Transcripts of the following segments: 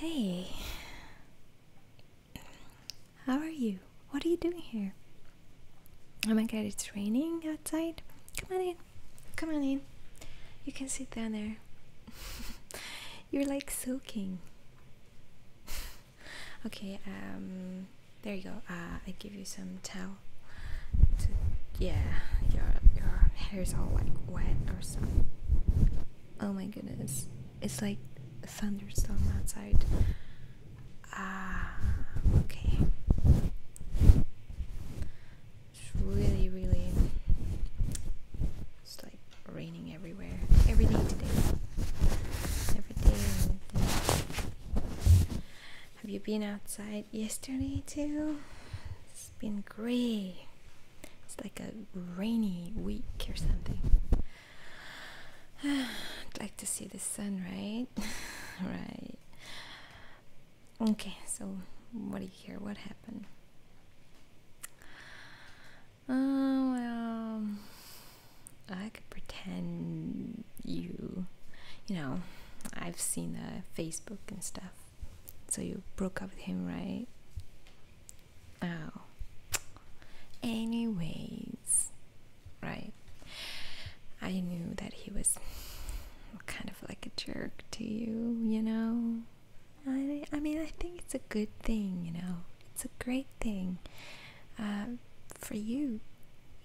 Hey, how are you? What are you doing here? Oh my god, it's raining outside. Come on in, come on in. You can sit down there. You're like soaking. okay um there you go uh i give you some towel yeah your your hair is all like wet or something oh my goodness it's like a thunderstorm outside ah okay it's really really it's like raining everywhere every day today every day. Have you been outside yesterday too? It's been gray. It's like a rainy week or something. I'd like to see the sun, right? right. Okay, so what do you hear? What happened? Oh, well, I could pretend you, you know, I've seen the Facebook and stuff. So you broke up with him, right? Oh. Anyways, right. I knew that he was kind of like a jerk to you, you know? I, I mean, I think it's a good thing, you know? It's a great thing. Um, for you.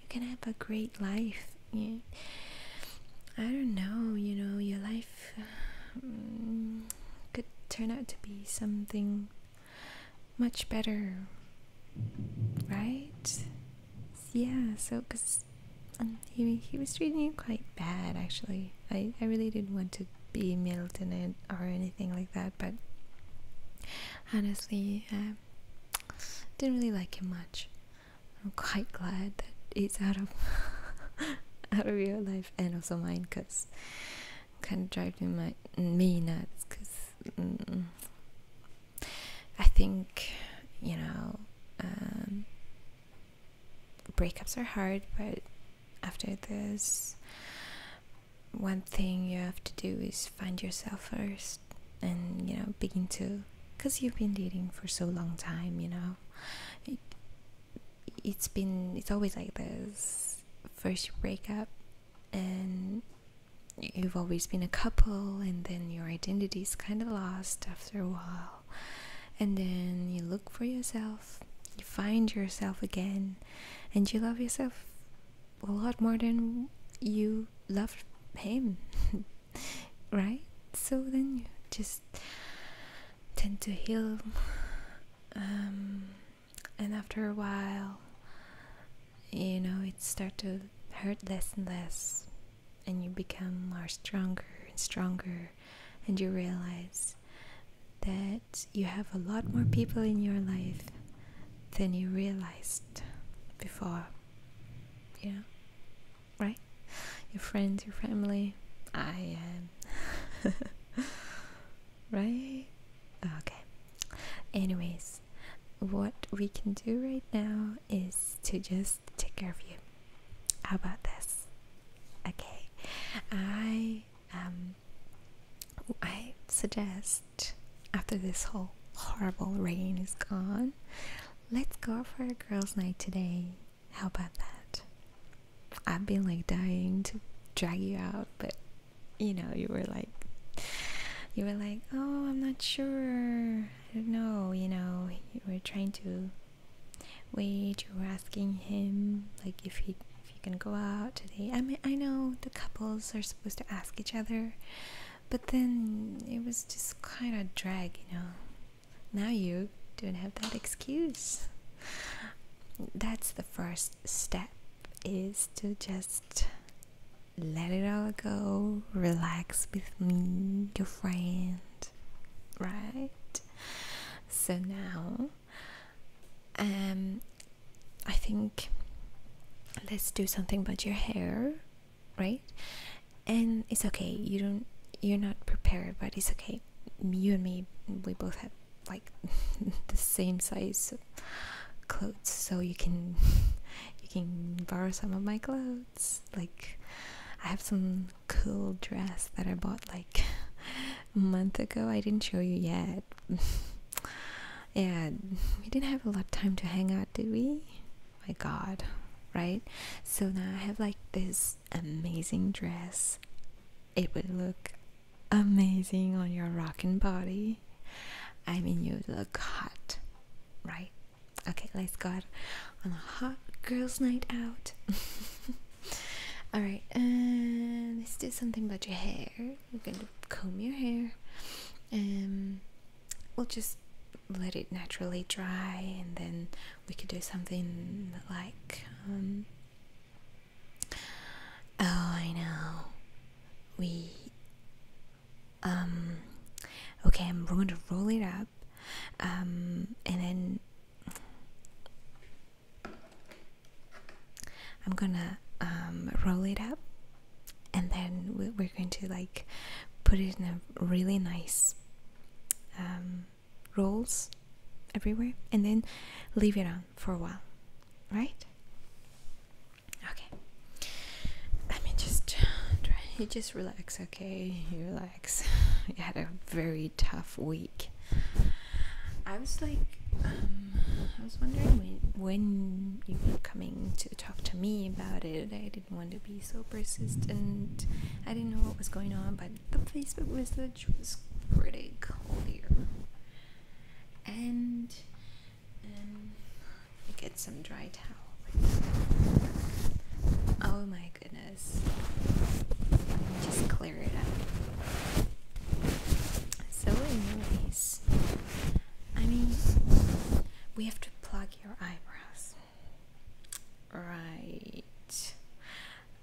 You can have a great life. I don't know, you know, your life mm, could turn out to be something much better, right? Yeah, so because um, he, he was treating you quite bad, actually. I, I really didn't want to be Milton or anything like that, but honestly, uh, didn't really like him much. I'm quite glad that he's out of out of your life and also mine, cause kind of driving my me nuts. I think you know um, breakups are hard, but after this, one thing you have to do is find yourself first and you know begin to because you've been dating for so long time you know it, has been it's always like this first you break up and you've always been a couple and then your identity's kind of lost after a while and then you look for yourself you find yourself again and you love yourself a lot more than you loved him right so then you just tend to heal um, and after a while you know it start to hurt less and less and you become more stronger and stronger and you realize that you have a lot more people in your life than you realized before. yeah, right? Your friends, your family. I am. right? Okay. Anyways, what we can do right now is to just take care of you. How about this? Okay. I um I suggest after this whole horrible rain is gone, let's go for a girls' night today. How about that? I've been like dying to drag you out, but you know, you were like, you were like, oh, I'm not sure. I don't know, you know, you were trying to wait, you were asking him, like, if he if you can go out today. I mean, I know the couples are supposed to ask each other but then it was just kind of drag, you know. Now you don't have that excuse. That's the first step is to just let it all go, relax with me, your friend, right? So now um I think let's do something about your hair right and it's okay you don't you're not prepared but it's okay you and me we both have like the same size clothes so you can you can borrow some of my clothes like i have some cool dress that i bought like a month ago i didn't show you yet yeah, we didn't have a lot of time to hang out, did we? My god, right? So now I have like this amazing dress. It would look amazing on your rockin' body. I mean, you look hot, right? Okay, let's go on a hot girls' night out. All right, uh, let's do something about your hair. We're going to comb your hair. Um, we'll just let it naturally dry and then we could do something like um, oh i know we um, okay i'm going to roll it up um, and then i'm gonna roll it up and then we're going to like put it in a really nice um, rolls everywhere and then leave it on for a while right okay let me just try you just relax okay you relax you had a very tough week i was like um, i was wondering when you were coming to talk to me about it. I didn't want to be so persistent. I didn't know what was going on, but the Facebook message was pretty clear. And um, get some dry towel. Oh my goodness. Let me just clear it up. So anyways, I mean, we have to plug your eyebrows. Right.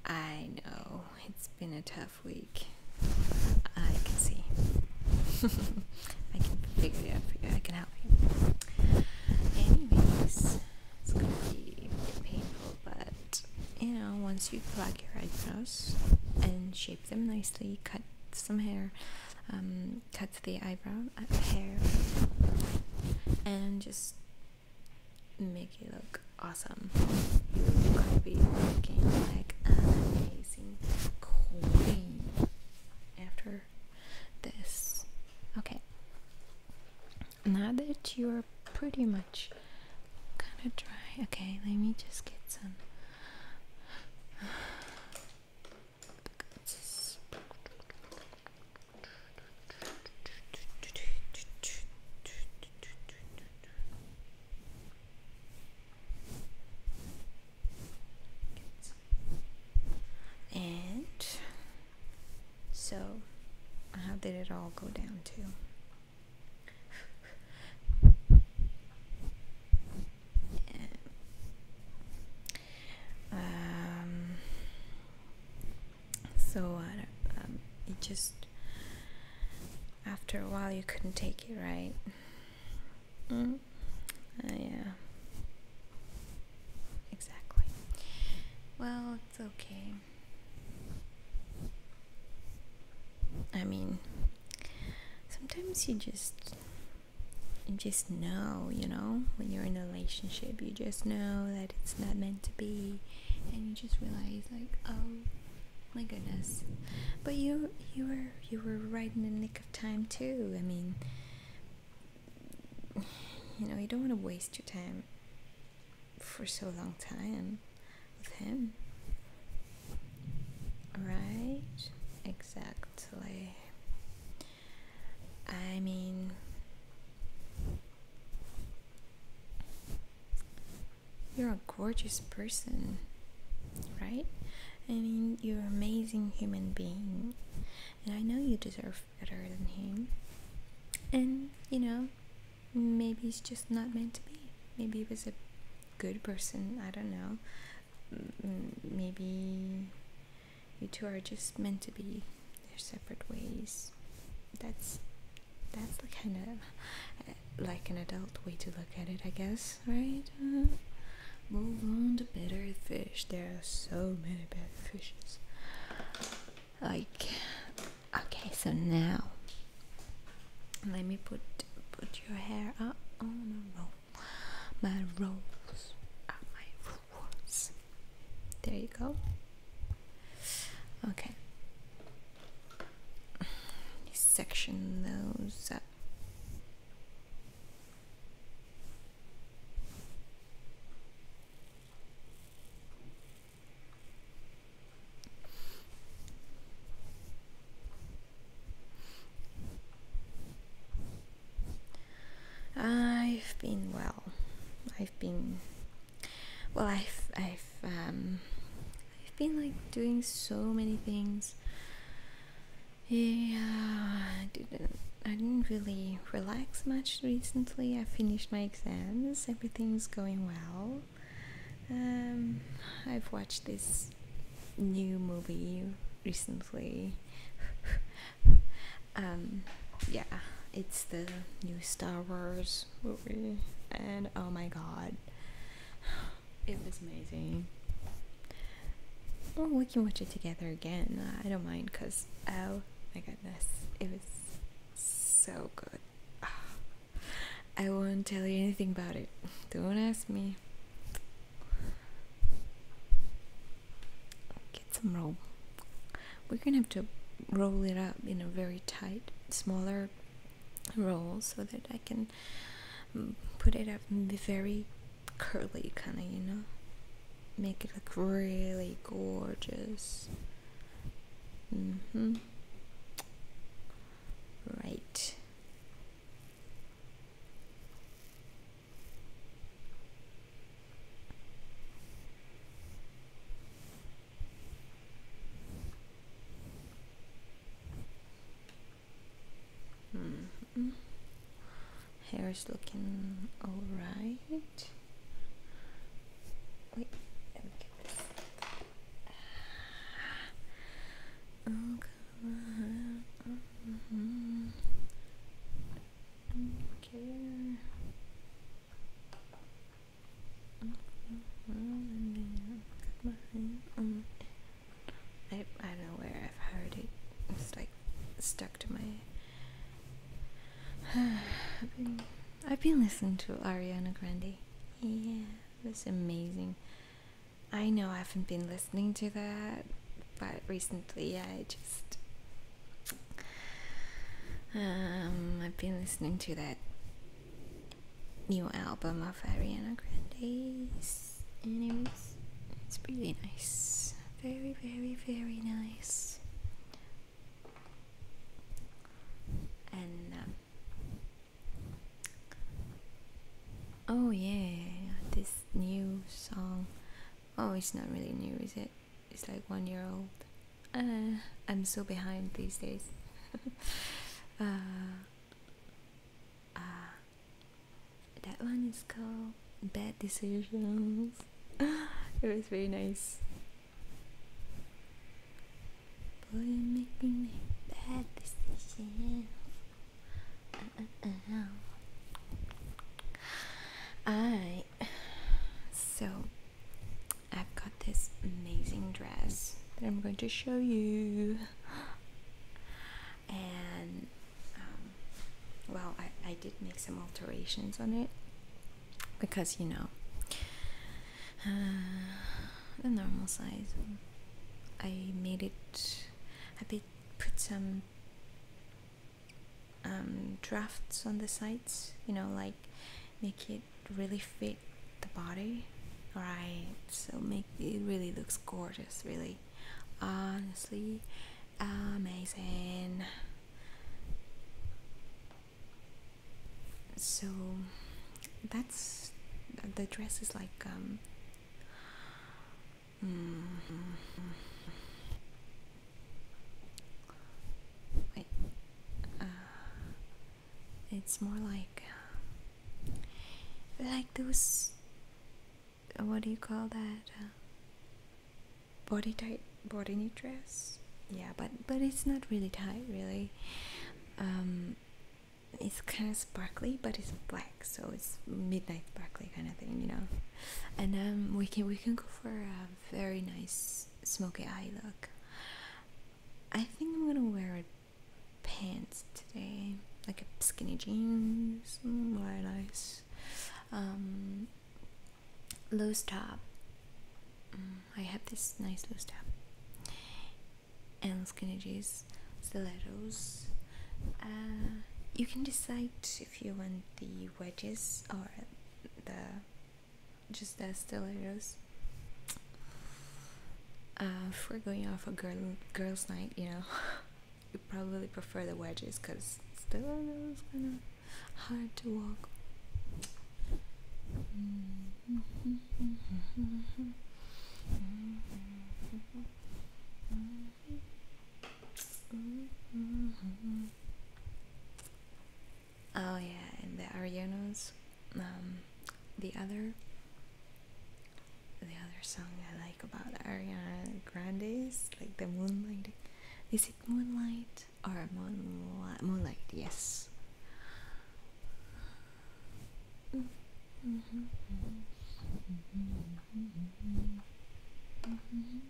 I know it's been a tough week. I can see. I can figure it out for you. I can help you. Anyways, it's gonna be painful, but you know, once you pluck your eyebrows and shape them nicely, cut some hair, um, um, cuts the eyebrow uh, hair and just make it look awesome. You could be looking like an amazing queen after this. Okay, now that you're pretty much kind of dry, okay, let me just get some. And so, how did it all go down to? um, so uh, um, it just after a while you couldn't take it right mm. yeah exactly well it's okay i mean sometimes you just you just know, you know, when you're in a relationship, you just know that it's not meant to be, and you just realize like, oh my goodness, but you you were you were right in the nick of time too. I mean, you know, you don't want to waste your time for so long time with him, right? Exactly. I mean, you're a gorgeous person, right? I mean, you're an amazing human being, and I know you deserve better than him. And you know, maybe it's just not meant to be. Maybe he was a good person, I don't know. Maybe you two are just meant to be their separate ways that's that's the kind of uh, like an adult way to look at it i guess right uh, move on to better fish there are so many better fishes like okay so now let me put put your hair up on a rope my rules are my rules. There you go. Okay. Section those up. Uh, I've been well. I've been well. I've I've um, I've been like doing so many things. Yeah, I didn't. I didn't really relax much recently. I finished my exams. Everything's going well. Um, I've watched this new movie recently um, yeah, it's the new Star Wars movie, and oh my god, it was amazing. Well, we can watch it together again. I don't mind because oh my goodness, it was so good. I won't tell you anything about it. Don't ask me. Get some roll. We're gonna have to roll it up in a very tight, smaller roll so that I can um, put it up very curly kind of, you know, make it look really gorgeous. Mm hmm Right. -hmm. Hair is looking alright. Wait, let me get this. Okay. Oh, Okay. I, don't know where I've heard it. It's like stuck to my. I've, been, listening to Ariana Grande. Yeah, that's amazing. I know I haven't been listening listening to that, but recently I just um, I've been listening to that new album of Ariana Grande's, and it's really nice, very very very nice, and. Um, oh yeah, this new song Oh, it's not really new, is it? It's like one year old. Uh, I'm so behind these days. uh, uh, that one is called Bad Decisions. it was very nice. Boy, making me bad decisions. Uh, uh, uh, I so I've got this amazing dress that I'm going to show you, and um, well, I, I did make some alterations on it because you know the normal size. I made it a bit, put some um, drafts on the sides, you know, like make it really fit the body. Right, so make it really looks gorgeous, really. Honestly, amazing. So that's the dress is like um, Wait. Uh, it's more like like those what do you call that uh, body tight body dress yeah but but it's not really tight really um it's kind of sparkly but it's black so it's midnight sparkly kind of thing you know and then um, we can we can go for a very nice smoky eye look. I think I'm gonna wear pants today, like a skinny jeans, very mm, nice. Um, loose top. Mm, I have this nice loose top and skinny jeans, stilettos. Uh, you can decide if you want the wedges or the just the stilettos. if uh, we're going off a girl girls' night, you know, you probably prefer the wedges because stilettos kind of hard to walk. Mm-hmm. Mm-hmm. Mm-hmm. Mm-hmm. Oh yeah, and the Arianos, um, the other, the other song I like about Ariana Grande is like the Moonlight. Is it Moonlight or Moonlight? Moonlight, yes. Mm-hmm. Mm-hmm.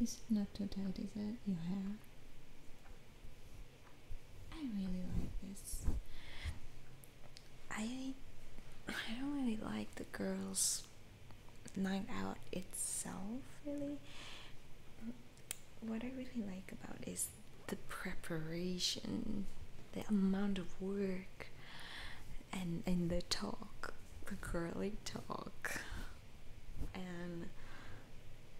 It's not too tight? Is that your hair? I really like this. I I don't really like the girls' night out itself, really. What I really like about is the preparation, the amount of work and and the talk, the girly talk, and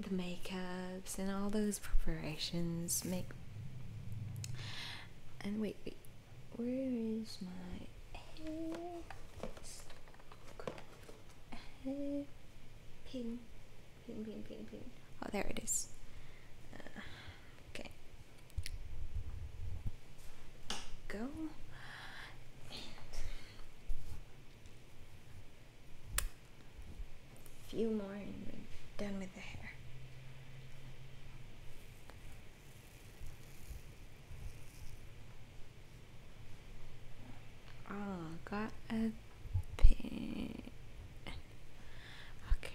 the makeups and all those preparations make. And wait, wait, where is my hair? Pin, pin, pin, pin, pin. Oh, there it is. Uh, Okay. Go. A few more and we're done with the hair. Oh, got a pin. Okay.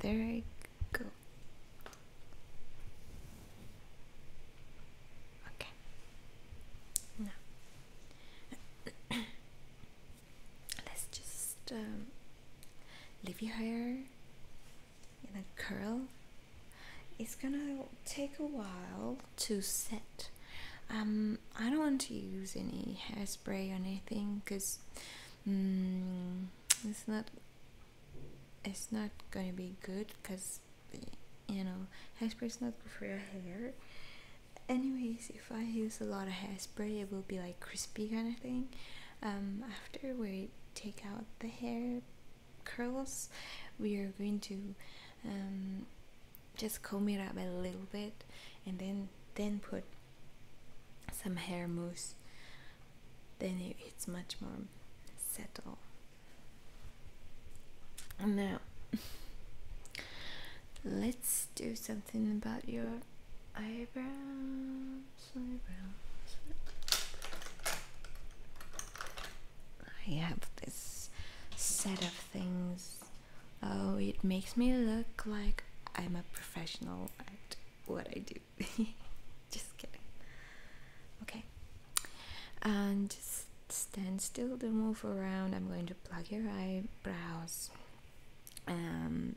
there I go. Okay. No let's just um, leave your hair in a curl. It's gonna take a while to set. Um, I don't want to use any hairspray or anything because um, mm, it's not it's not gonna be good because you know hairspray is not good for your hair anyways if I use a lot of hairspray it will be like crispy kind of thing um, after we take out the hair curls we are going to um, just comb it up a little bit and then then put some hair mousse then it's much more settled now let's do something about your Eyebrows, eyebrows. I have this set of things. Oh, it makes me look like I'm a professional at what I do. just kidding. Okay. And just stand still, don't move around. I'm going to plug your eyebrows. Um,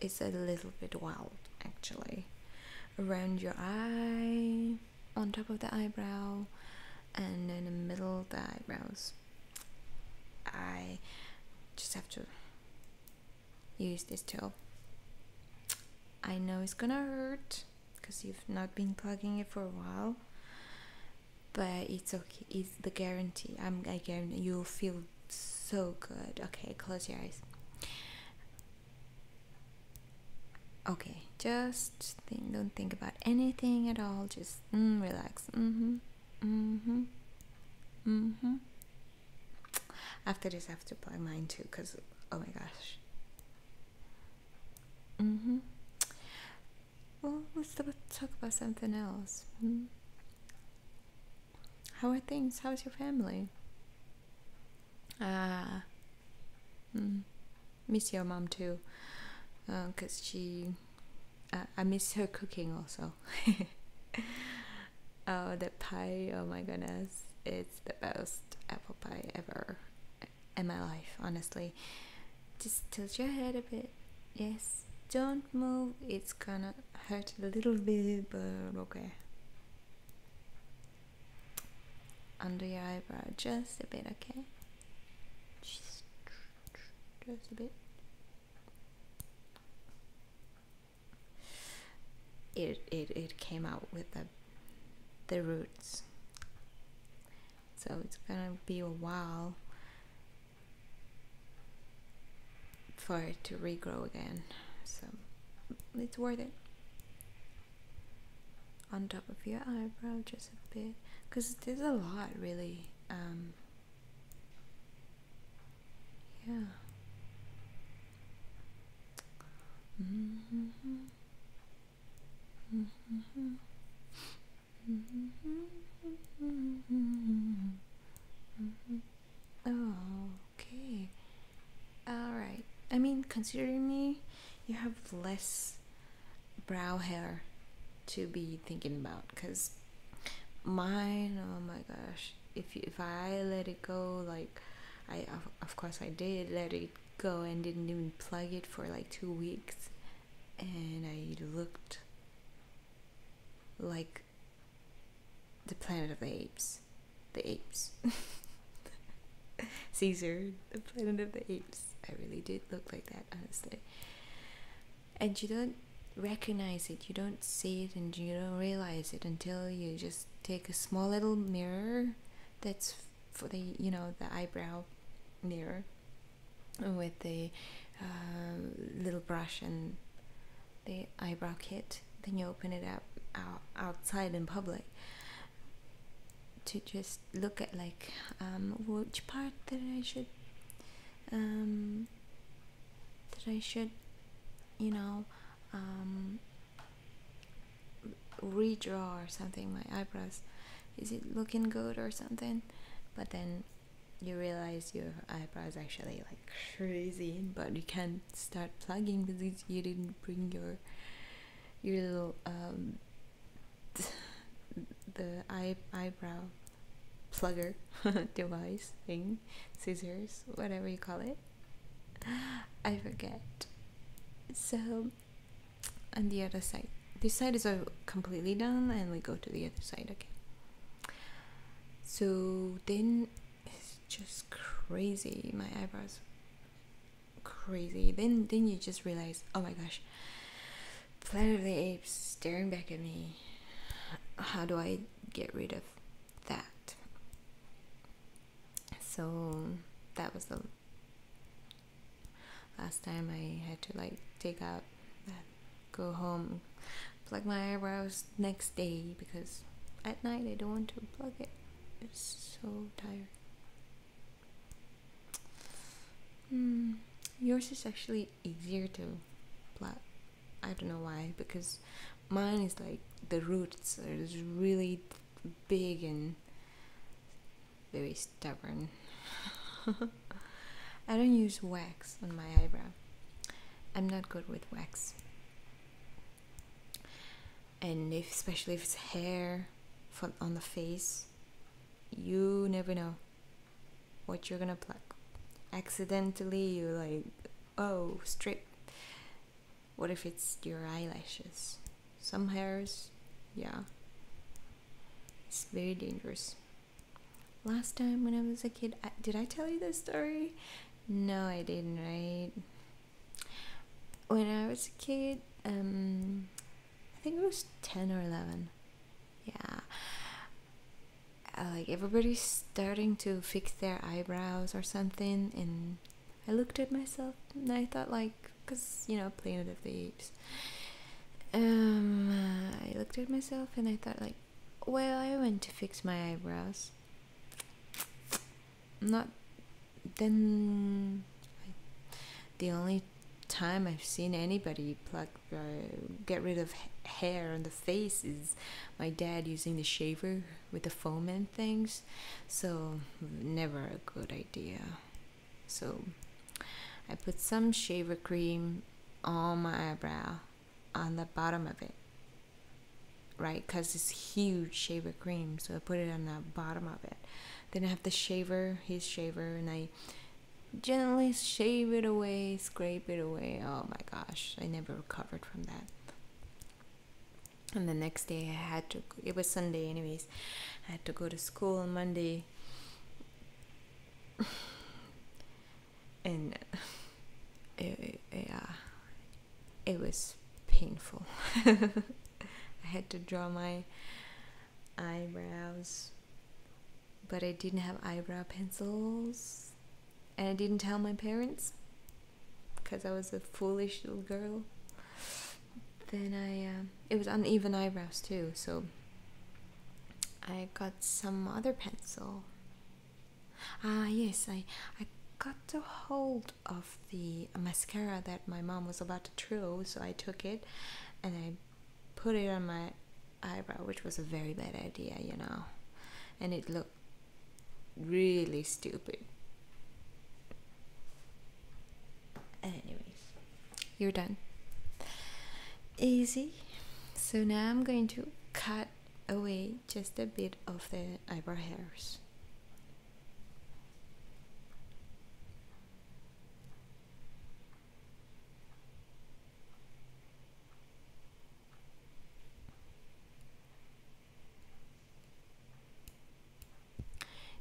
it's a little bit wild actually around your eye on top of the eyebrow and in the middle of the eyebrows i just have to use this tool i know it's gonna hurt because you've not been plugging it for a while but it's okay it's the guarantee i'm again. you'll feel so good okay close your eyes okay just think don't think about anything at all just mm, relax mm-hmm mm-hmm mm-hmm after this i have to apply mine too because oh my gosh mm-hmm well let's talk about something else -hmm. How are things? How's your family? Ah, mm, miss your mom too, because uh, she, uh, I miss her cooking also. oh, the pie! Oh my goodness, it's the best apple pie ever in my life, honestly. Just tilt your head a bit Yes, don't move. It's gonna hurt a little bit, but okay. Under your eyebrow, just a bit, okay? Just, just a bit. It, it, it came out with the, the roots. So it's gonna be a while for it to regrow again so it's worth it on top of your eyebrow just a bit because there's a lot really um, yeah mm-hmm. Mm-hmm. Mm-hmm. Mm -hmm. Oh, okay. Alright. I mean, considering me, you have less brow hair to be thinking about because mine, oh my gosh. If, if I let it go, like, I of, of course I did let it go and didn't even plug it for like two weeks, and I looked like the Planet of the Apes, the apes. Caesar, the Planet of the Apes. I really did look like that, honestly. And you don't recognize it, you don't see it, and you don't realize it until you just take a small little mirror that's for the you know the eyebrow mirror with the uh, little brush and the eyebrow kit then you open it up out, outside in public to just look at like um, which part that I should um, that I should you know um, redraw or something my eyebrows is it looking good or something but then you realize your eyebrows actually like crazy but you can't start plugging because you didn't bring your your little um the eye eyebrow plugger device thing scissors whatever you call it i forget so on the other side this side is completely done and we go to the other side again so then it's just crazy. My eyebrows crazy. Then then you just realize, oh my gosh, Planet of the Apes staring back at me. How do I get rid of that? So that was the last time I had to like take out go home plug my eyebrows next day because at night I don't want to plug it. It's so tired. Hmm, yours is actually easier to plug. I don't know why because mine is like the roots are really big and very stubborn. I don't use wax on my eyebrows. I'm not good with wax. And especially if it's hair for, on the face, you never know what you're gonna pluck. Accidentally, you like, oh, strip. What if it's your eyelashes? Some hairs, yeah. It's very dangerous. Last time when I was a kid, did I tell you this story? No, I didn't, right? When I was a kid, um, I think it was 10 or 11. Yeah. like everybody's starting to fix their eyebrows or something, and I looked at myself and I thought, like, because you know, Planet of the Apes. Um, I looked at myself and I thought, like, well, I went to fix my eyebrows. Not then. the only time I've seen anybody pluck, uh, get rid of hair on the face is my dad using the shaver with the foam and things. So, never a good idea. So, I put some shaver cream on my eyebrow on the bottom of it, right? Because it's huge shaver cream, so I put it on the bottom of it. Then I have the shaver, his shaver, and I gently shave it away, scrape it away. Oh my gosh, I never recovered from that. And the next day I had to, it was Sunday, anyways, I had to go to school on Monday and it, uh, it was painful. I had to draw my eyebrows, but I didn't have eyebrow pencils, and I didn't tell my parents because I was a foolish little girl. Then I, um, it was uneven eyebrows too, so I got some other pencil Ah, yes, I, I got a hold of the mascara that my mom was about to throw, so I took it and I put it on my eyebrow, which was a very bad idea, you know. And it looked really stupid. Anyways, you're done. Easy. So now I'm going to cut away just a bit of the eyebrow hairs.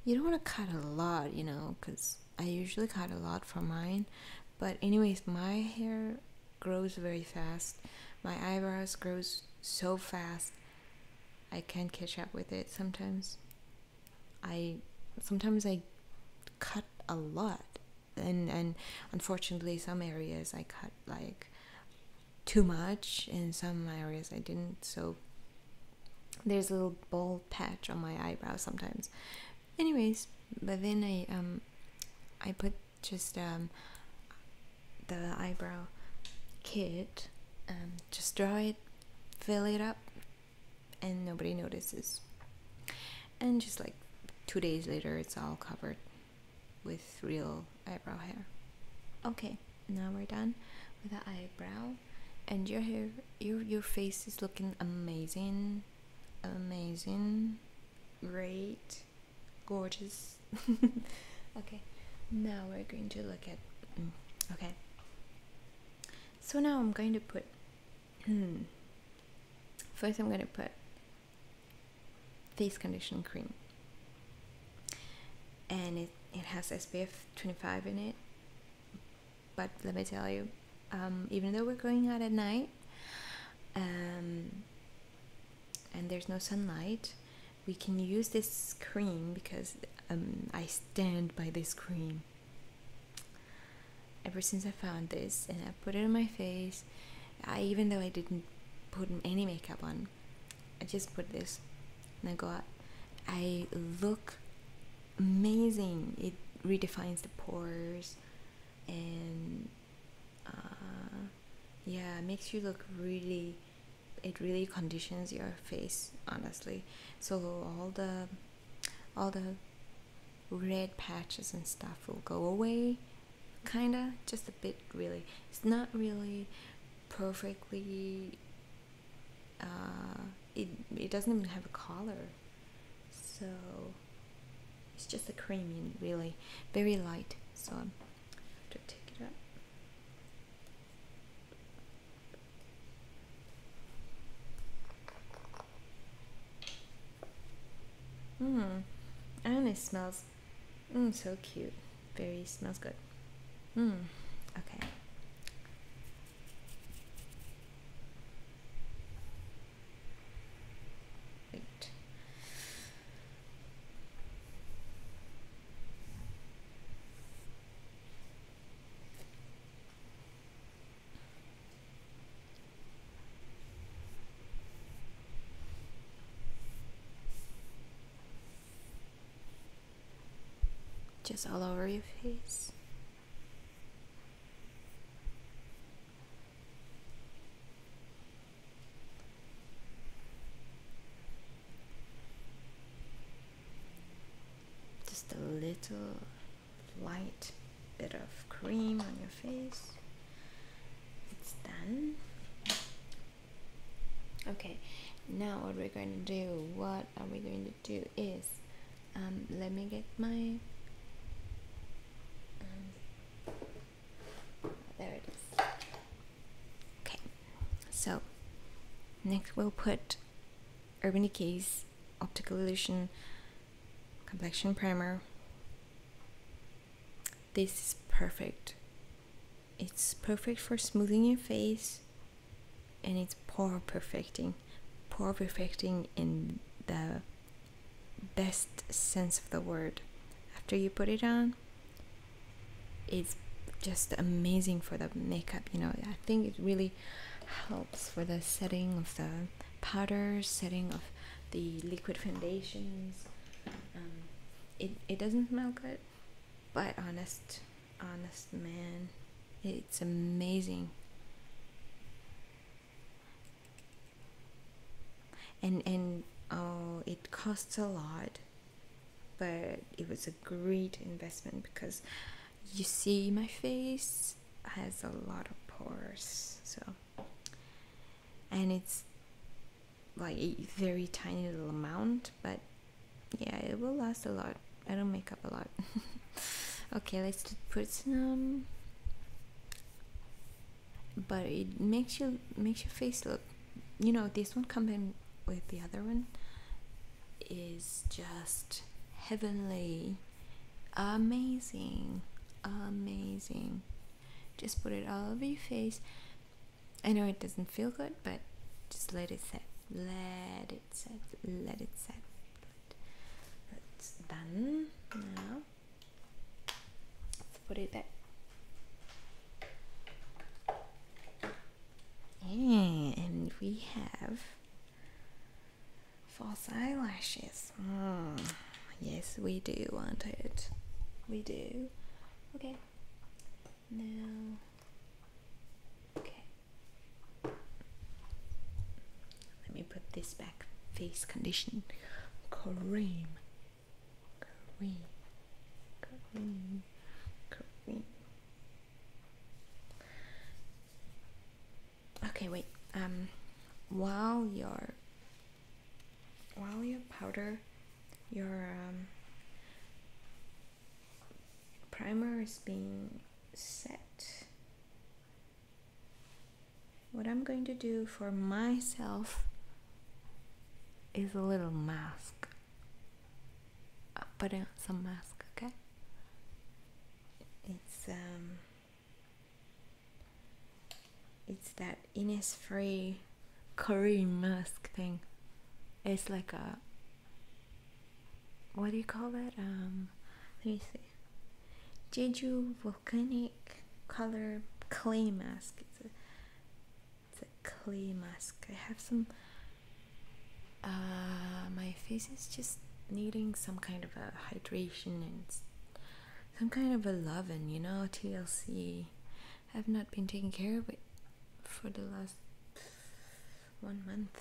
You don't want to cut a lot, you know, because I usually cut a lot for mine. But anyways, my hair grows very fast. My eyebrows grows so fast. I can't catch up with it sometimes. I sometimes I cut a lot. And and unfortunately some areas I cut like too much in some areas I didn't. So there's a little bald patch on my eyebrow sometimes. Anyways, but then I um I put just um, the eyebrow kit and um, just draw it fill it up and nobody notices and just like two days later it's all covered with real eyebrow hair okay now we're done with the eyebrow and your hair your your face is looking amazing amazing great gorgeous okay now we're going to look at mm, okay so now I'm going to put hmm, first I'm going to put face condition cream and it, it has SPF 25 in it but let me tell you um, even though we're going out at night um, and there's no sunlight we can use this cream because um, I stand by this cream ever since I found this and I put it on my face I even though I didn't put any makeup on I just put this and I go out I look amazing it redefines the pores and uh, yeah makes you look really it really conditions your face honestly so all the all the red patches and stuff will go away kinda just a bit really it's not really perfectly uh, it, it doesn't even have a color so it's just a cream, really, very light. So I'm to take it up? Mmm, and it smells mm, so cute. Very smells good. Mmm, okay. Just all over your face. Just a little light bit of cream on your face. It's done. Okay, now what we're going to do, what are we going to do is, um, let me get my um, there it is. Okay, so next we'll put Urban Decay's Optical Illusion Complexion Primer. This is perfect. It's perfect for smoothing your face and it's pore perfecting. Pore perfecting in the best sense of the word. After you put it on, it's just amazing for the makeup. You know, I think it really helps for the setting of the powder, setting of the liquid foundations. Um, it it doesn't smell good, but honest, honest man, it's amazing and and oh, it costs a lot, but it was a great investment because you see my face has a lot of pores, so and it's like a very tiny little amount, but yeah, it will last a lot. I don't make up a lot. okay, let's put some but it makes you makes your face look you know this one combined with the other one is just heavenly amazing amazing just put it all over your face i know it doesn't feel good but just let it set let it set let it set it's done now put it back. And we have false eyelashes. Mm. Yes, we do want it. We do. Okay. Now. Okay. Let me put this back. Face condition cream. Kareem, Kareem, Kareem. Okay, wait. Um, while your while your powder, your um, primer is being set. What I'm going to do for myself is a little mask. I put on some mask, okay? It's um it's that Innisfree Korean mask thing. It's like a what do you call it? Um let me see. Jeju volcanic color clay mask. It's it's a clay mask. I have some. Uh, my face is just needing some kind of a hydration and some kind of a loving, you know. TLC. I've not been taking care of it for the last one month.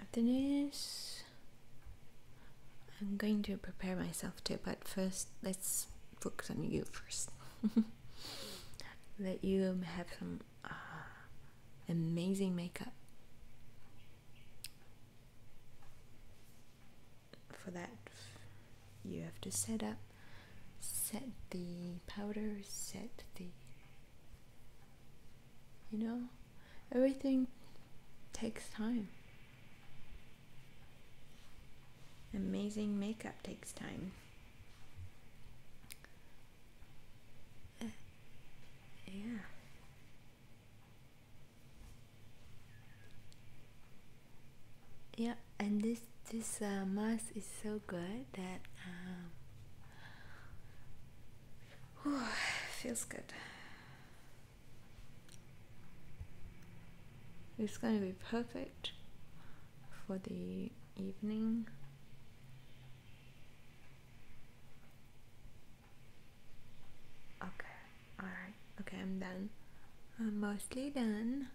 After this, I'm going to prepare myself too, but first let's focus on you first. Let you have some uh, amazing makeup. For that, you have to set up, set the powder, set the. You know, everything takes time. Amazing makeup takes time. yeah. Yeah, and this this uh, mask is so good that um, feels good. It's going to be perfect for the evening. Okay, alright, okay, I'm done. I'm mostly done.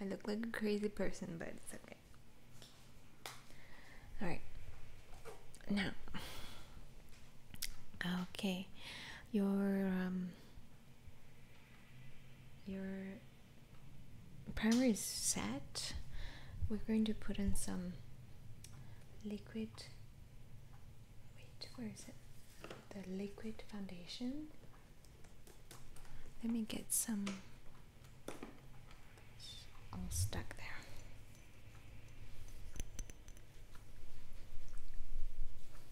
I look like a crazy person, but it's okay. Alright, now, okay, your um, your primer is set, we're going to put in some liquid. Wait, where is it? The liquid foundation. Let me get some. all stuck there.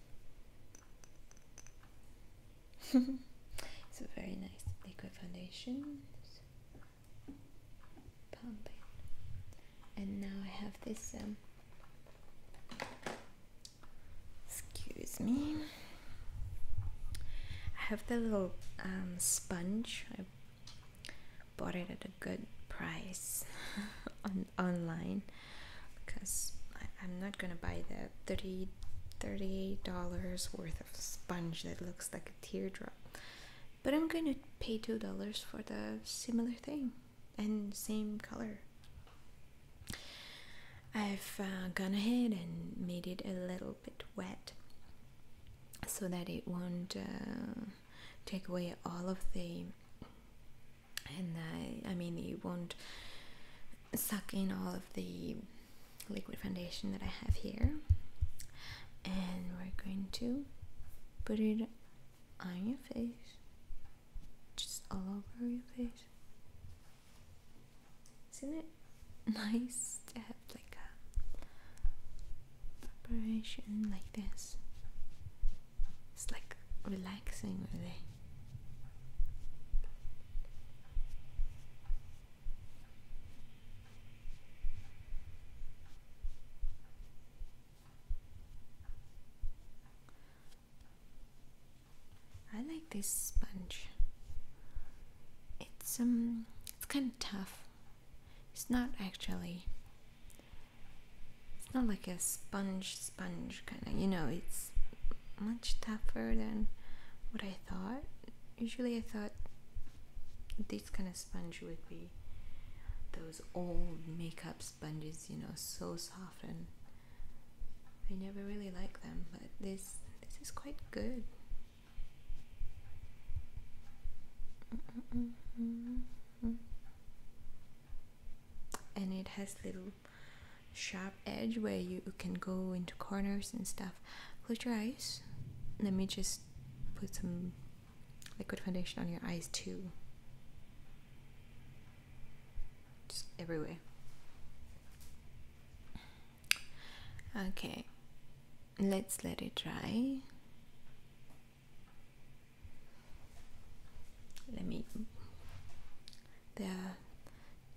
it's a very nice liquid foundation. Pumping. And now I have this. Um, excuse me. I have the little um, sponge. I bought it at a good price online because I, am not gonna buy that 30 38 dollars worth of sponge that looks like a teardrop but I'm gonna pay two dollars for the similar thing and same color I've uh, gone ahead and made it a little bit wet so that it won't uh, take away all of the and uh, I mean you won't suck in all of the liquid foundation that I have here and we're going to put it on your face just all over your face isn't it nice to have like a preparation like this it's like relaxing, really. I like this sponge. It's um, it's kind of tough. It's not actually it's not like a sponge sponge kind of you know it's much tougher than what I thought usually I thought this kind of sponge would be those old makeup sponges you know so soft and I never really like them but this this is quite good and it has little sharp edge where you can go into corners and stuff. Close your eyes. Let me just put some liquid foundation on your eyes too. Just everywhere. Okay, let's let it dry. Let me. There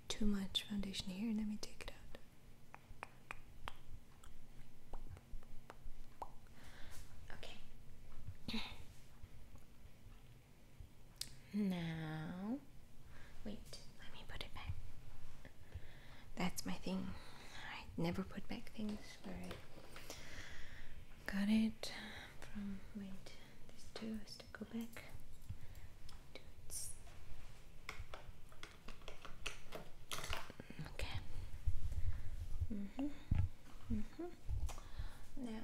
too much foundation here. Let me take it out. Okay. now, wait. Let me put it back. That's my thing. I never put back things. Where I got it from. Wait. This too has to go back okay. Mm-hmm. Mm-hmm. Now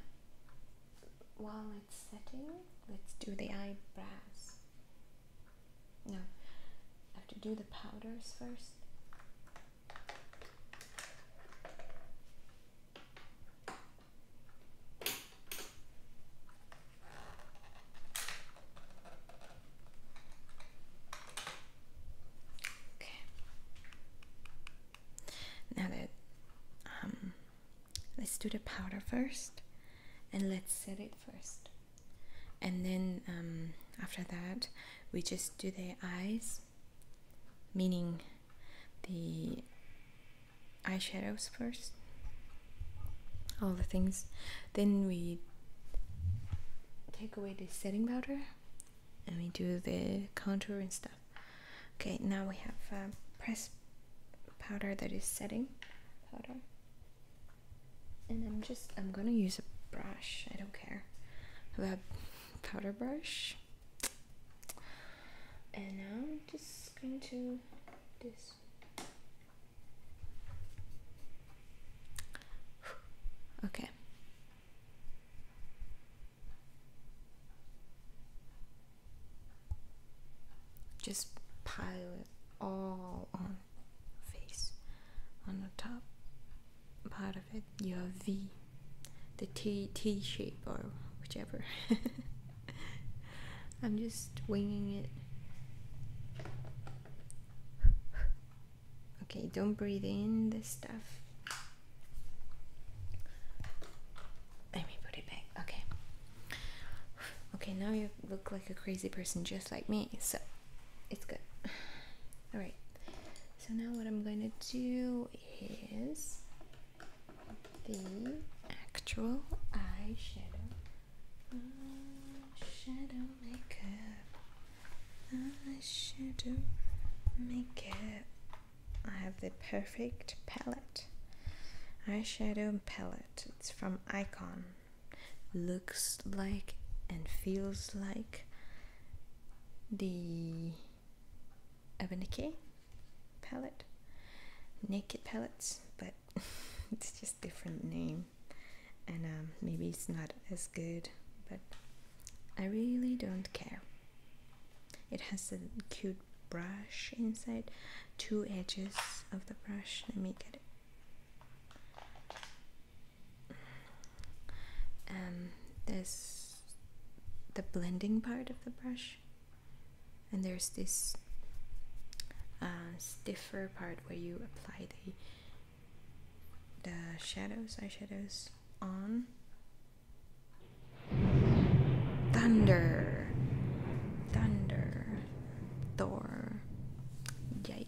while it's setting, let's do the eyebrows. No. I have to do the powders first. Okay. Now that um, let's do the powder first, and let's set it first, and then um, after that we just do the eyes meaning the eyeshadows first all the things then we take away the setting powder and we do the contour and stuff okay now we have a uh, pressed powder that is setting powder and I'm just I'm gonna use a brush I don't care a powder brush and now I'm just going to this okay just pile it all on face on the top part of it your V the T T shape or whichever. I'm just winging it. Okay, don't breathe in the stuff. Let me put it back. Okay. Okay, now you look like a crazy person just like me, so it's good. Alright, so now what I'm gonna do is the actual eyeshadow shadow makeup eyeshadow makeup I have the perfect palette eyeshadow palette it's from Icon looks like and feels like the Urban Decay palette, Naked palettes, but it's just different name, and um, maybe it's not as good, but I really don't care. It has a cute brush inside, two edges of the brush. Let me get it. Um, there's the blending part of the brush and there's this uh, stiffer part where you apply the the shadows eyeshadows on thunder thunder thor yikes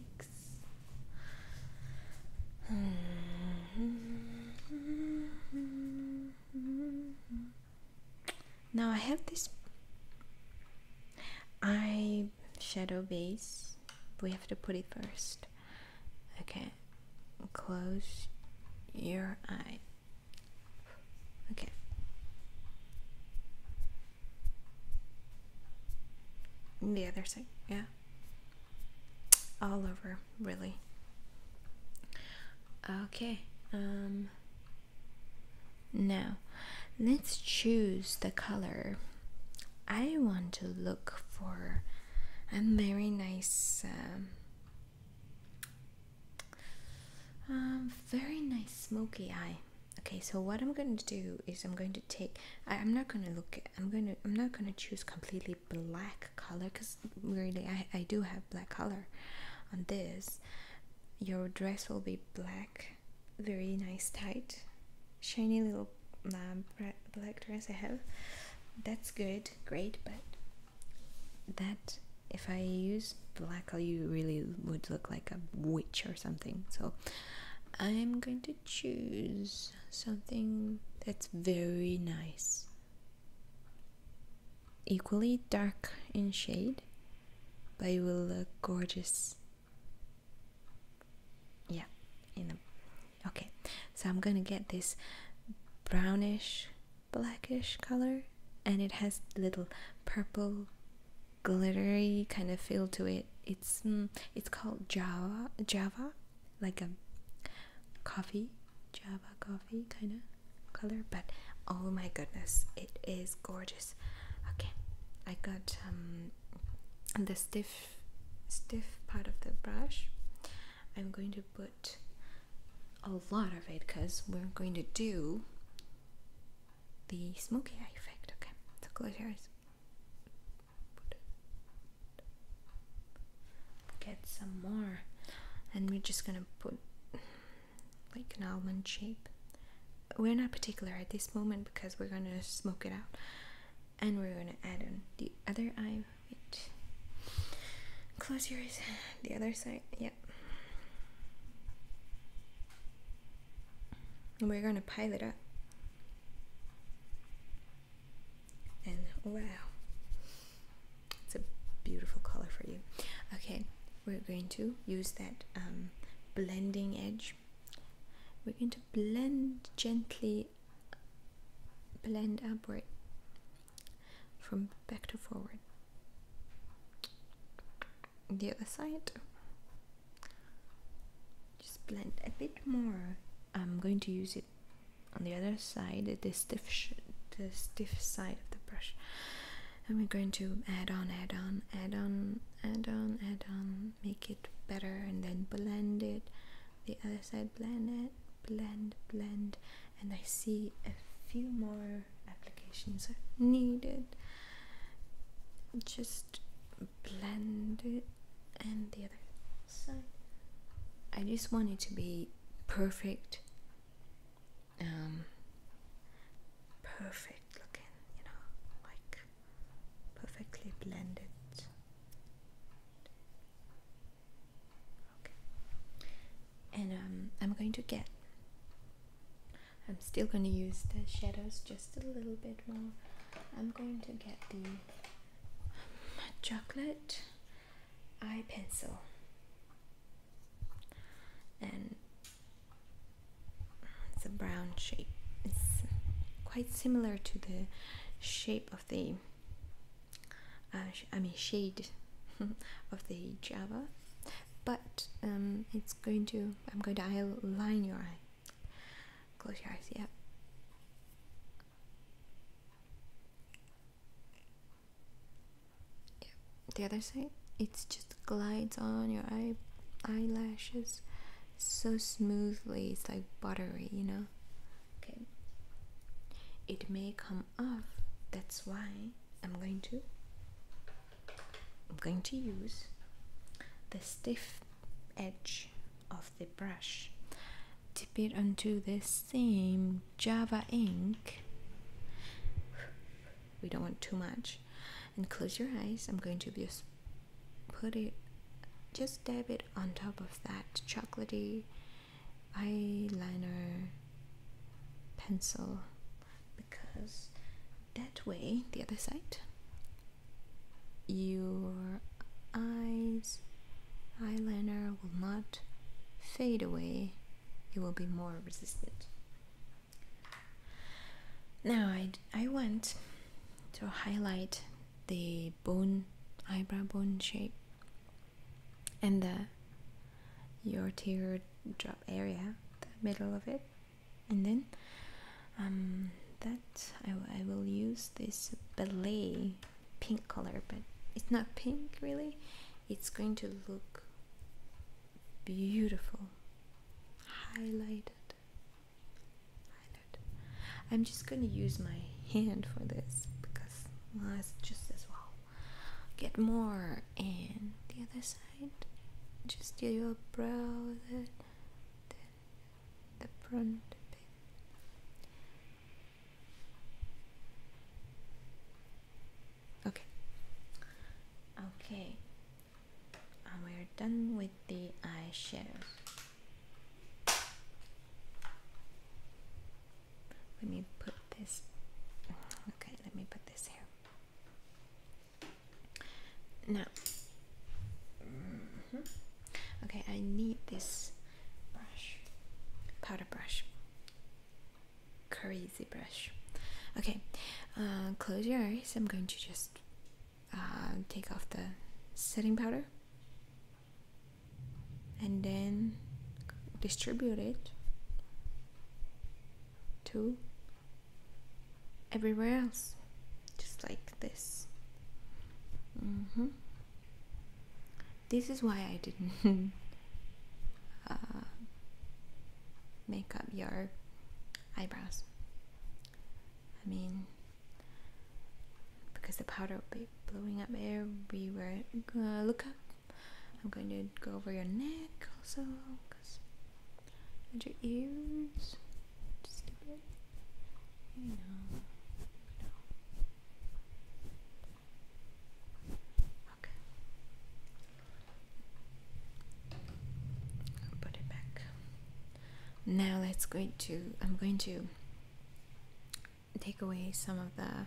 now I have this eye shadow base we have to put it first okay close your eye okay the other side yeah all over really. Okay, um, now let's choose the color. I want to look for a very nice, um, um very nice smoky eye. Okay, so what I'm going to do is I'm going to take. I, am not going to look. I'm going to. I'm not going to choose completely black color Cause really I, I do have black color on this your dress will be black very nice tight shiny little um, black dress I have that's good great but that if I use black you really would look like a witch or something so I'm going to choose something that's very nice equally dark in shade, but it will look gorgeous. Yeah, in the okay. So I'm gonna get this brownish, blackish color, and it has little purple, glittery kind of feel to it. It's mm, it's called Java Java, like a coffee, Java coffee kind of color but oh my goodness it is gorgeous okay I got um, the stiff stiff part of the brush I'm going to put a lot of it because we're going to do the smoky eye effect okay so close your eyes get some more and we're just gonna put like an almond shape. We're not particular at this moment because we're gonna smoke it out and we're gonna add on the other eye. Wait. Close your eyes. The other side, yep. And we're gonna pile it up. And wow it's a beautiful color for you okay we're going to use that um, blending edge we're going to blend gently blend upward from back to forward the other side just blend a bit more I'm going to use it on the other side this stiff the stiff side of the brush and we're going to add on add on add on add on add on make it better and then blend it the other side blend it blend blend and i see a few more applications are needed just blend it and the other side i just want it to be perfect um, perfect looking, you know, like perfectly blended. and um, I'm going to get. I'm still going to use the shadows just a little bit more. I'm going to get the um, chocolate eye pencil and it's a brown shape it's quite similar to the shape of the uh, I mean shade of the Java but um, it's going to I'm going to outline your eye close your eyes yeah the other side it just glides on your eye eyelashes so smoothly it's like buttery you know okay it may come off that's why i'm going to i'm going to use the stiff edge of the brush tip it onto this same Java ink. We don't want too much. And close your eyes. I'm going to just put it, just dab it on top of that chocolatey eyeliner pencil because that way, the other side, your eyes eyeliner will not fade away it will be more resistant. Now, I, I want to highlight the bone, eyebrow bone shape and the your teardrop area, the middle of it, and then um, that I, I will use this ballet pink color, but it's not pink really, it's going to look beautiful highlighted highlighted i'm just going to use my hand for this because well, it's just as well get more and the other side just do your brow the, the, the front bit Okay. Okay. And we're done with the eyeshadow. Let me put this. Okay, let me put this here. Now. Mm-hmm. Okay, I need this brush, powder brush crazy brush. Okay, uh, close your eyes. I'm going to just uh, take off the setting powder and then distribute it to everywhere else, just like this. Mm-hmm. This is why I didn't uh, make up your eyebrows. I mean, because the powder will be blowing up everywhere. Uh, look up. I'm going to go over your neck also, cause and your ears. Just a bit. You know. Okay. put it back. Now let's going to I'm going to take away some of the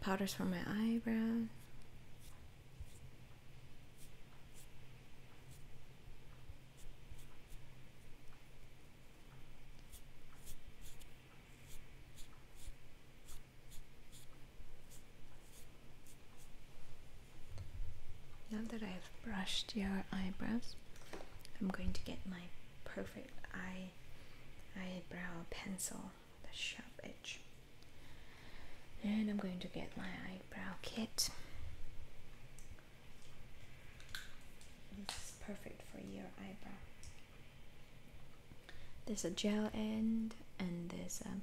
powders from my eyebrow. Now that I've brushed your eyebrows, I'm going to get my perfect eye eyebrow pencil, the sharp edge. And I'm going to get my eyebrow kit. This is perfect for your eyebrow. There's a gel end and there's a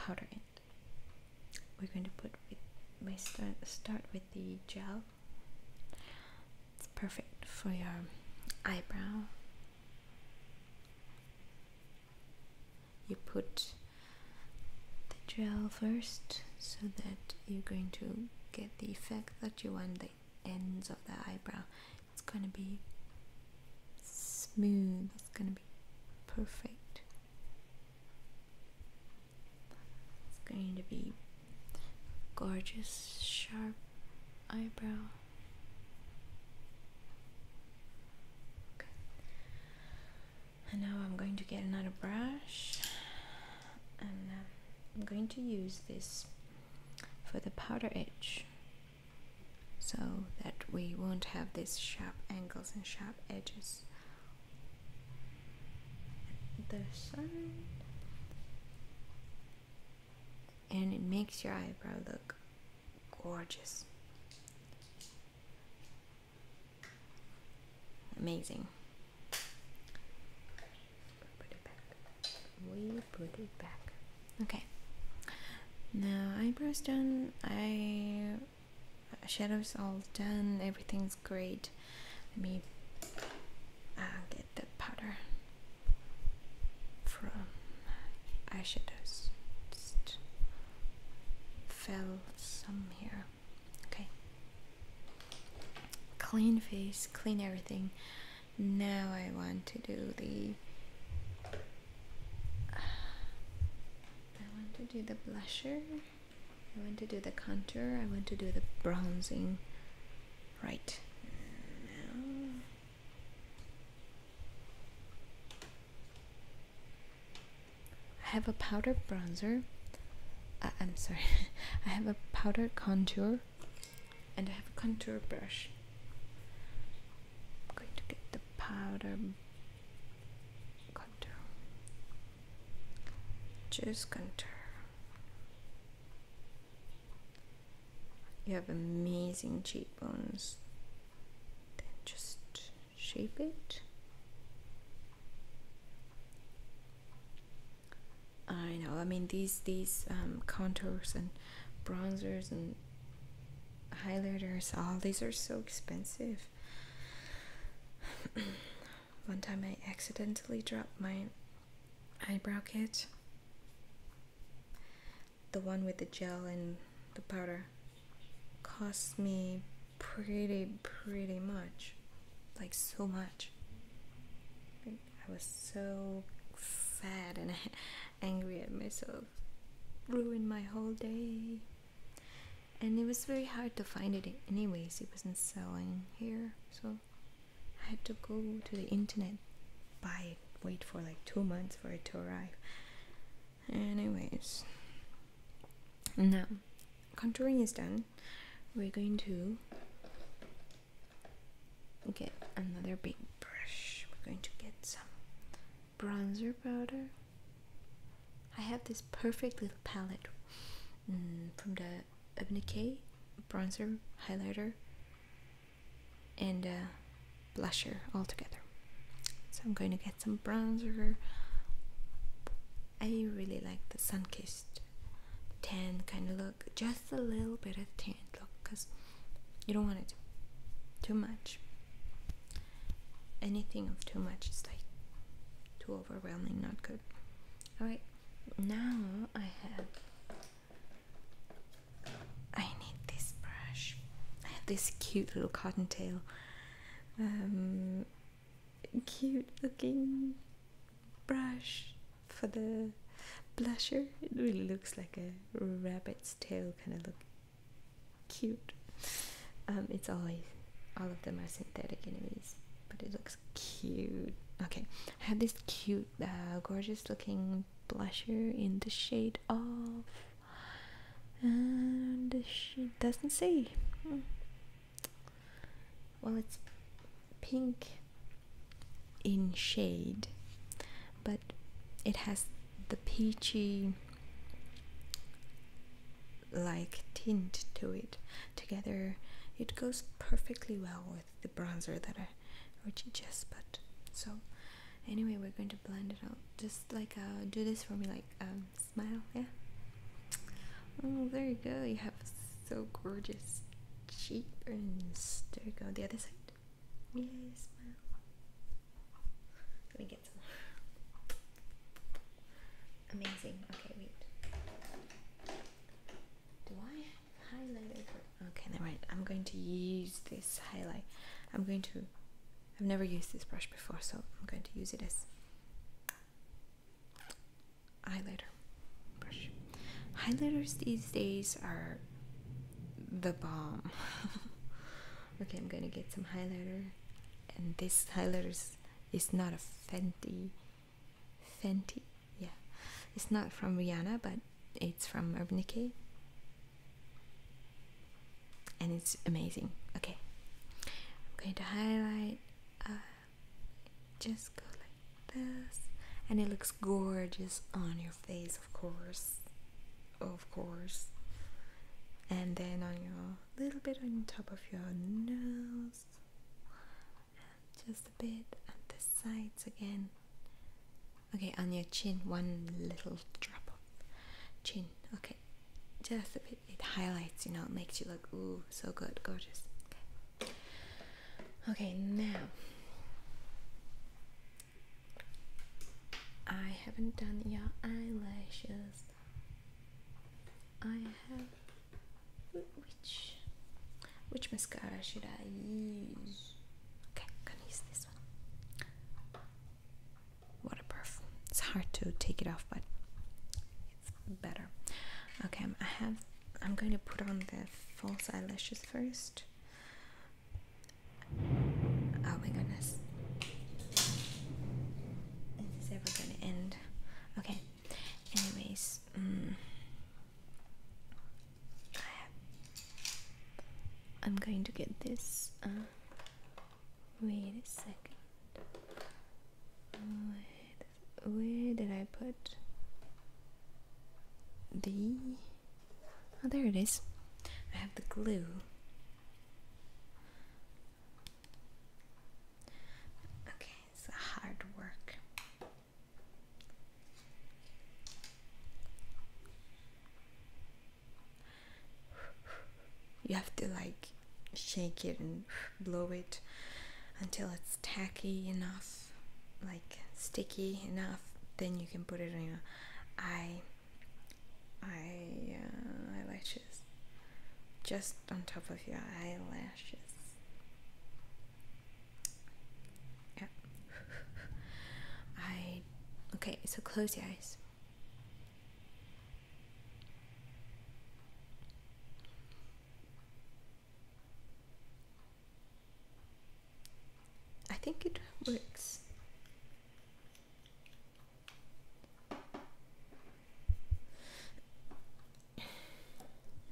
powder end. We're going to put with we start start with the gel. It's perfect for your eyebrow. You put the gel first so that you're going to get the effect that you want the ends of the eyebrow it's gonna be smooth, it's gonna be perfect. It's going to be gorgeous, sharp eyebrow. And now I'm going to get another brush and um, I'm going to use this for the powder edge so that we won't have these sharp angles and sharp edges. The side, and it makes your eyebrow look gorgeous, amazing. Put it back way put it back. Okay. Now eyebrows done. I shadows all done. Everything's great. Let me uh, get the powder from eyeshadows. fell some here. Okay. Clean face. Clean everything. Now I want to do the I want to do the blusher, I want to do the contour, I want to do the bronzing right now. I have a powder bronzer. Uh, I'm sorry, I have a powder contour and I have a contour brush going to get the powder contour. Choose contour. You have amazing cheekbones. Then just shape it. I know. I mean, these these um, contours and bronzers and highlighters all these are so expensive one time i accidentally dropped my eyebrow kit the one with the gel and the powder cost me pretty pretty much like so much i was so sad and angry at myself ruined my whole day. And it was very hard to find it, anyways. It wasn't selling here, so I had to go to the internet, buy it, wait for like two months for it to arrive. Anyways, now contouring is done. We're going to get another big brush. We're going to get some bronzer powder. I have this perfect little palette mm, from the Urban Decay bronzer, highlighter, and uh, blusher all together. So I'm going to get some bronzer. I really like the sun-kissed tan kind of look, just a little bit of tan look, cause you don't want it too much anything of too much is like too overwhelming not good all right now i have i need this brush this cute little cottontail um cute looking brush for the blusher it really looks like a rabbit's tail kind of look cute. Um, it's always all of them are synthetic, anyways, but it looks cute. Okay, I have this cute, uh, gorgeous looking blusher in the shade of, and she doesn't say. Well, it's pink in shade, but it has the peachy like tint to it together it goes perfectly well with the bronzer that I already just put so anyway we're going to blend it out just like uh, do this for me like um, smile yeah oh there you go you have so gorgeous cheeks. there you go the other side Yes, ma'am. Let me get some. Amazing. Okay, wait. Do I highlighter? Okay, then I'm going to use this highlight. I'm going to. I've never used this brush before, so I'm going to use it as highlighter brush. Highlighters these days are the bomb. okay i'm gonna get some highlighter and this highlighter is not a fenty fenty yeah it's not from rihanna but it's from urban decay and it's amazing okay i'm going to highlight uh, just go like this and it looks gorgeous on your face of course of course, and then on your little bit on top of your nose, just a bit at the sides again. Okay, on your chin, one little drop of chin. Okay, just a bit. It highlights, you know, it makes you look ooh so good, gorgeous. Okay, okay now I haven't done your eyelashes. I have which which mascara should I use? Okay, I'm gonna use this one. Waterproof. It's hard to take it off, but it's better. Okay, I have. I'm going to put on the false eyelashes first. Oh my goodness. Is this ever going to end? Okay. Anyways, I am mm. going to get this. Uh, wait a second. where did I put the Oh, there it is. I have the glue. Okay, it's a hard work. You have to like shake it and blow it until it's tacky enough, like sticky enough. Then you can put it on your eye eye uh, eyelashes just on top of your eyelashes yeah I okay so close your eyes I think it works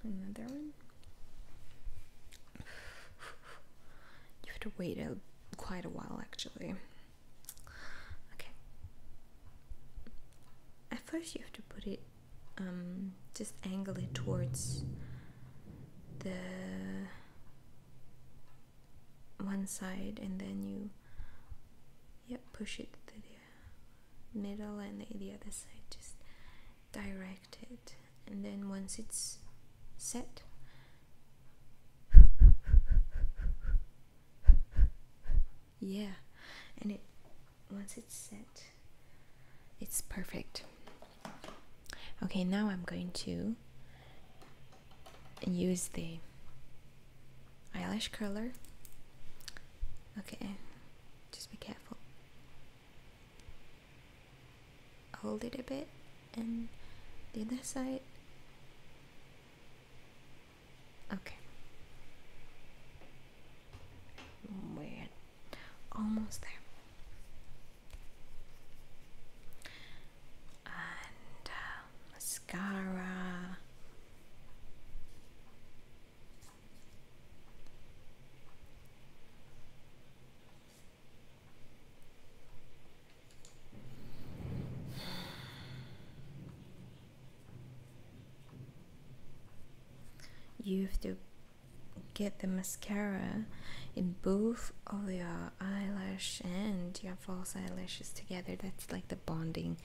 Another one. You have to wait a, quite a while actually. Okay. At first, you have to put it, um, just angle it towards the one side and then you yep push it to the middle and the, the other side just direct it and then once it's set yeah and it once it's set it's perfect okay now i'm going to use the eyelash curler. Okay, just be careful. Hold it a bit, and the other side. Okay. we almost there. And uh, mascara. You have to get the mascara in both of your eyelash and your false eyelashes together. That's like the bonding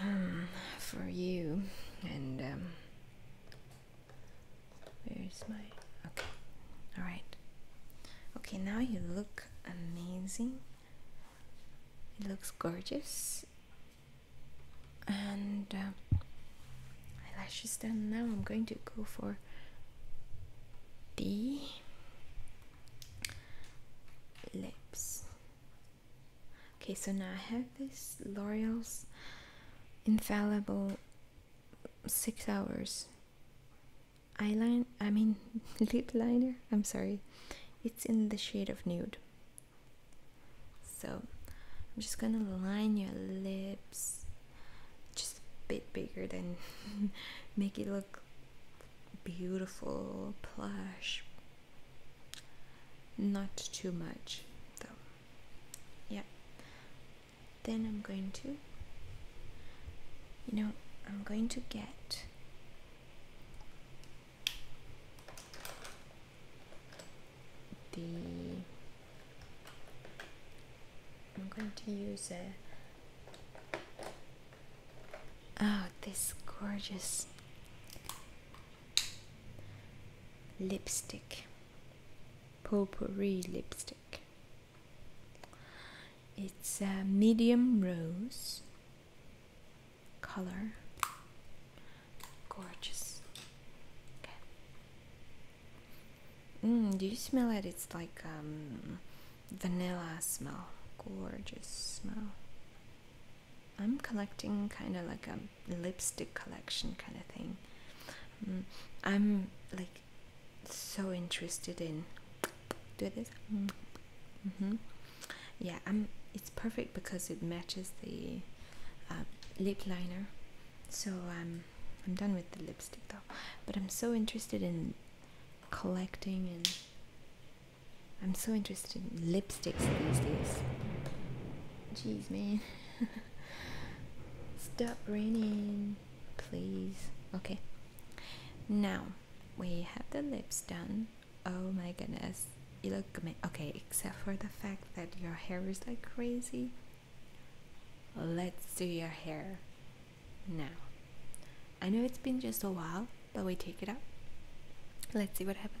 um, for you. And um, where's my okay? All right. Okay, now you look amazing. It looks gorgeous. And um, eyelashes done. Now I'm going to go for B lips okay so now I have this L'Oreal's infallible six hours eyeliner I mean lip liner I'm sorry it's in the shade of nude so I'm just gonna line your lips just a bit bigger than make it look beautiful, plush. Not too much though. Yeah. Then I'm going to, you know, I'm going to get. The I'm going to use it. Oh, this gorgeous lipstick, potpourri lipstick. It's a medium rose color. Gorgeous. Okay. Mm, do you smell it? It's like um, vanilla smell. Gorgeous smell. I'm collecting kind of like a lipstick collection kind of thing. Mm, I'm like so interested in do this. Mm -hmm. Yeah, I'm. It's perfect because it matches the uh, lip liner. So um, I'm done with the lipstick though. But I'm so interested in collecting and I'm so interested in lipsticks these days. Jeez, man. Stop raining, please. Okay. Now we have the lips done. Oh my goodness. You look okay, except for the fact that your hair is like crazy. Let's do your hair now. I know it's been just a while, but we take it up. Let's see what happens.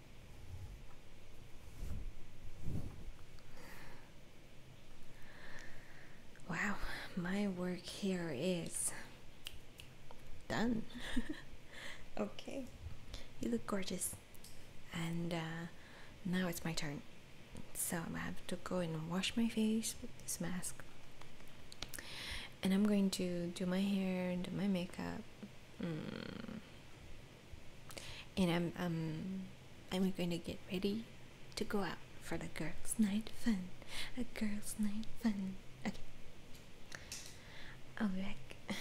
Wow, my work here is done. okay, you look gorgeous. And uh, now it's my turn. So I have to go and wash my face with this mask. And I'm going to do my hair, do my makeup. Mm and I'm um, I'm going to get ready to go out for the girls' night fun. A girls' night fun. Okay. I'll be back.